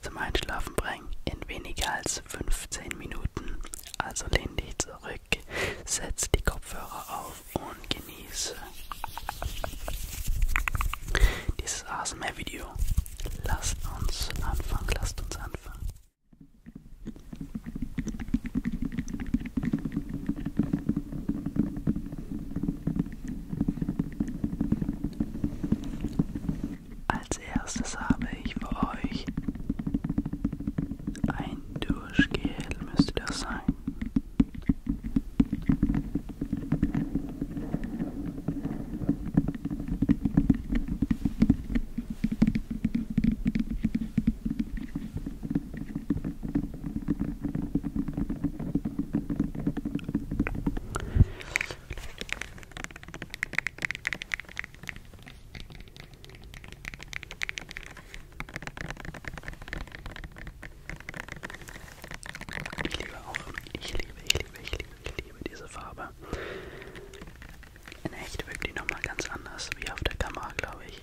zum Einschlafen bringen in weniger als 15 Minuten. Also lehn dich zurück, setz die Kopfhörer auf und genieße dieses ASMR-Video. Lasst uns anfangen, lasst uns anfangen. Als erstes habe ich für euch ein Duschgel, müsste das sein. Ich liebe auch, ich liebe, ich liebe, ich liebe, ich liebe diese Farbe. In echt wirkt die nochmal ganz anders wie auf der Kamera, glaube ich.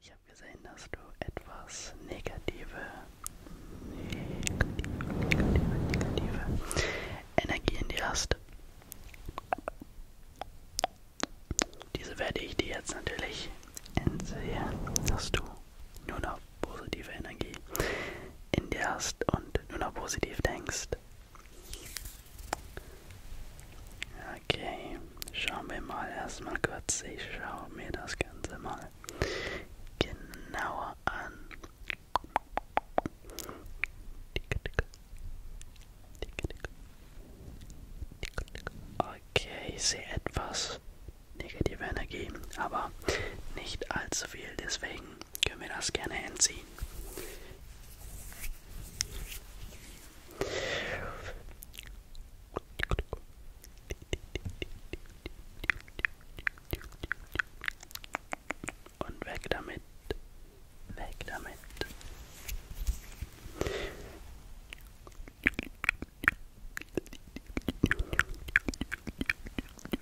Ich habe gesehen, dass du etwas negative, negative, negative, negative Energie in dir hast. Diese werde ich dir jetzt natürlich entziehen, dass du nur noch positive Energie in dir hast und nur noch positiv denkst. Okay, schauen wir mal erstmal kurz. Ich schaue mir das Ganze mal genauer an. Okay, ich sehe etwas negative Energie, aber nicht allzu viel, deswegen können wir das gerne entziehen. Und weg damit. Weg damit.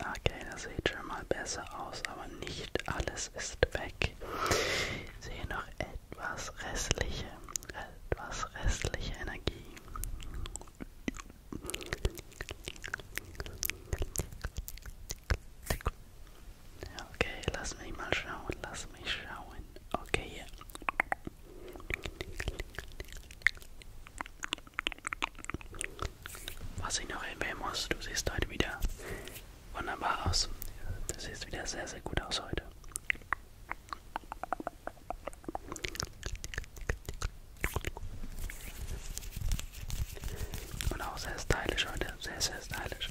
Okay, das sieht schon mal besser aus, aber nicht alles ist weg. Ich sehe noch etwas restliche, etwas restliche Energie. Okay, lass mich mal schauen, lass mich schauen. Okay, hier. Was ich noch erwähnen muss, du siehst heute wieder wunderbar aus. Du siehst wieder sehr, sehr gut aus heute. Und auch sehr stylisch heute, sehr, sehr stylisch.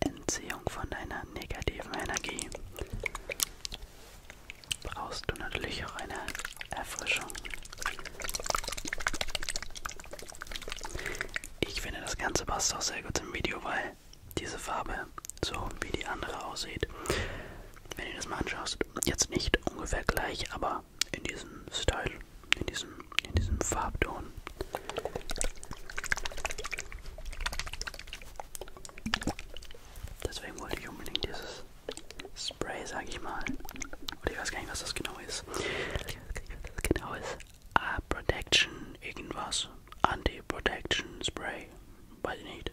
Entziehung von deiner negativen Energie brauchst du natürlich auch eine Erfrischung. Ich finde das Ganze passt auch sehr gut im Video, weil diese Farbe so wie die andere aussieht. Wenn du das mal anschaust, jetzt nicht ungefähr gleich, aber in diesem Style, in diesem, in diesem Farbton. Deswegen wollte ich unbedingt dieses Spray, sag ich mal. Oder ich weiß gar nicht, was das genau ist. Das genau ist A äh, Protection, irgendwas. Anti-Protection Spray. Weiß ich nicht.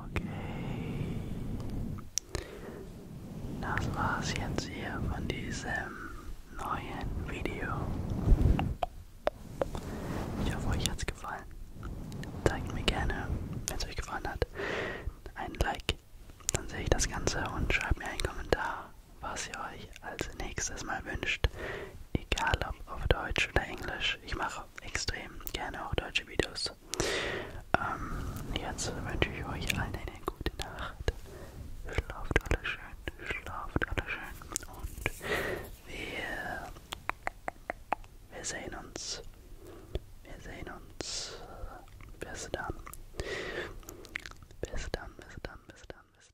Okay. Das war's jetzt hier von diesem neuen Video. Ich hoffe, euch hat's gefallen. Zeigt mir gerne, wenn es euch gefallen hat, einen Like. Dann sehe ich das Ganze und schreibt mir einen Kommentar was ihr euch als nächstes mal wünscht. Egal ob auf Deutsch oder Englisch. Ich mache extrem gerne auch deutsche Videos. Ähm, jetzt wünsche ich euch allen eine gute Nacht. Schlaft alle schön, schlaft alle schön. Und wir, wir sehen uns. Wir sehen uns. Bis dann. Bis dann, bis dann, bis dann, bis dann.